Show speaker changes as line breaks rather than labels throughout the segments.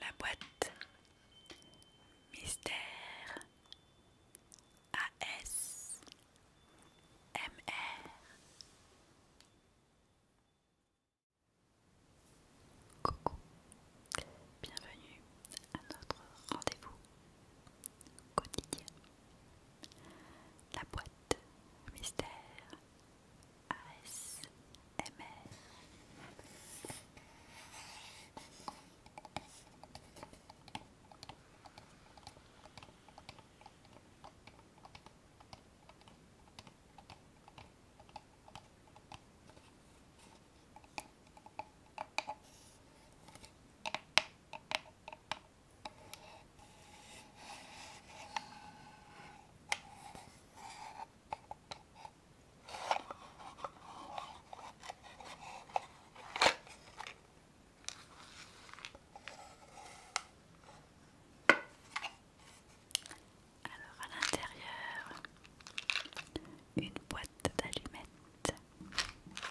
La boîte
Mystère AS MR Coucou, bienvenue à notre rendez-vous quotidien. La boîte mystère ASMR. Alors à l'intérieur, une boîte d'allumettes.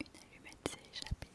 Une allumette s'est échappée.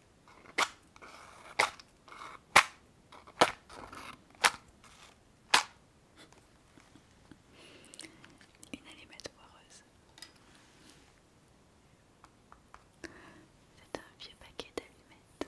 Une allumette poireuse. C'est un vieux paquet d'allumettes.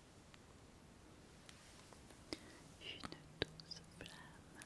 Une douce flamme.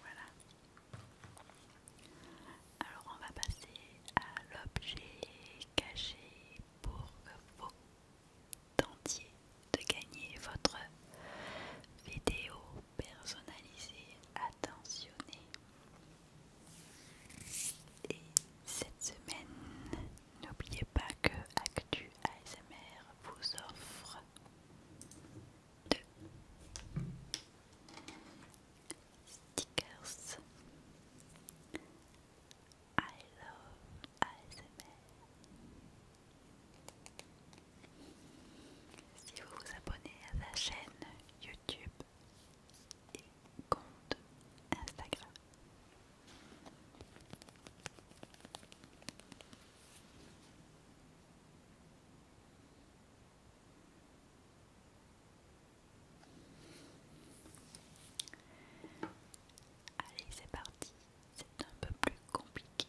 Voilà. Alors on va passer à l'objet caché pour que vous tentiez de gagner votre vidéo personnalisée, attentionnée. Et cette semaine, n'oubliez pas que Actu ASMR vous offre stickers I love ASMR Si vous vous abonnez à la chaîne YouTube et compte Instagram Allez, c'est parti, c'est un peu plus compliqué.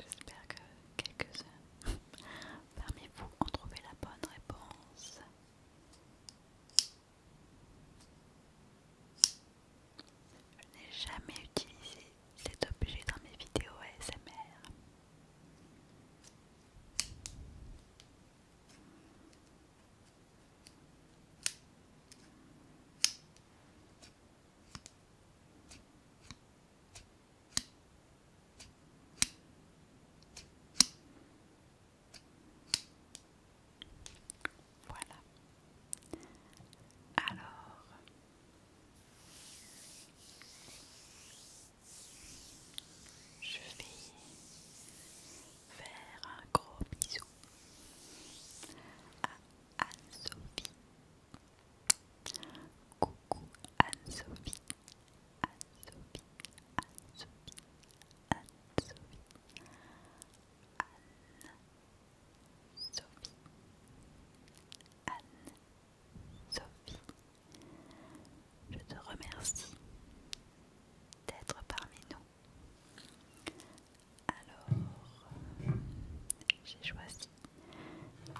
J'espère que quelques-uns parmi vous ont trouvé la bonne réponse. Je n'ai jamais utilisé cet objet dans mes vidéos ASMR. Voilà. Alors, je vais faire un gros bisou à Anne-Sophie Coucou Anne-Sophie, Anne-Sophie, Anne-Sophie, Anne-Sophie, Anne-Sophie, Anne-Sophie. Je te remercie d'être parmi nous. Alors, j'ai choisi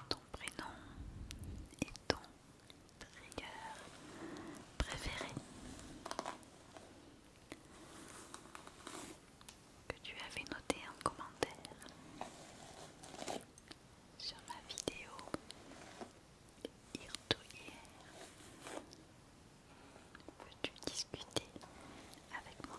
ton prénom et ton trigger préféré que tu avais noté en commentaire sur ma vidéo Hier, veux tu discuter avec moi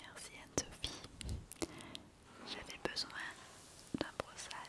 Merci à sophie J'avais besoin d'un brossage.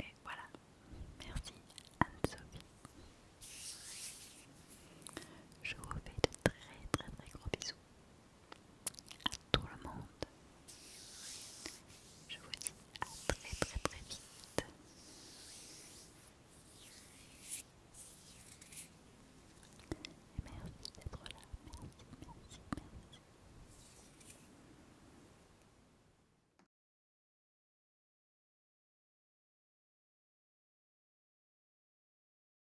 Et voilà, merci Anne-Sophie. Je vous fais de très très très gros bisous à tout le monde. Je vous dis à très très très vite. Et merci d'être là. Merci, merci, merci.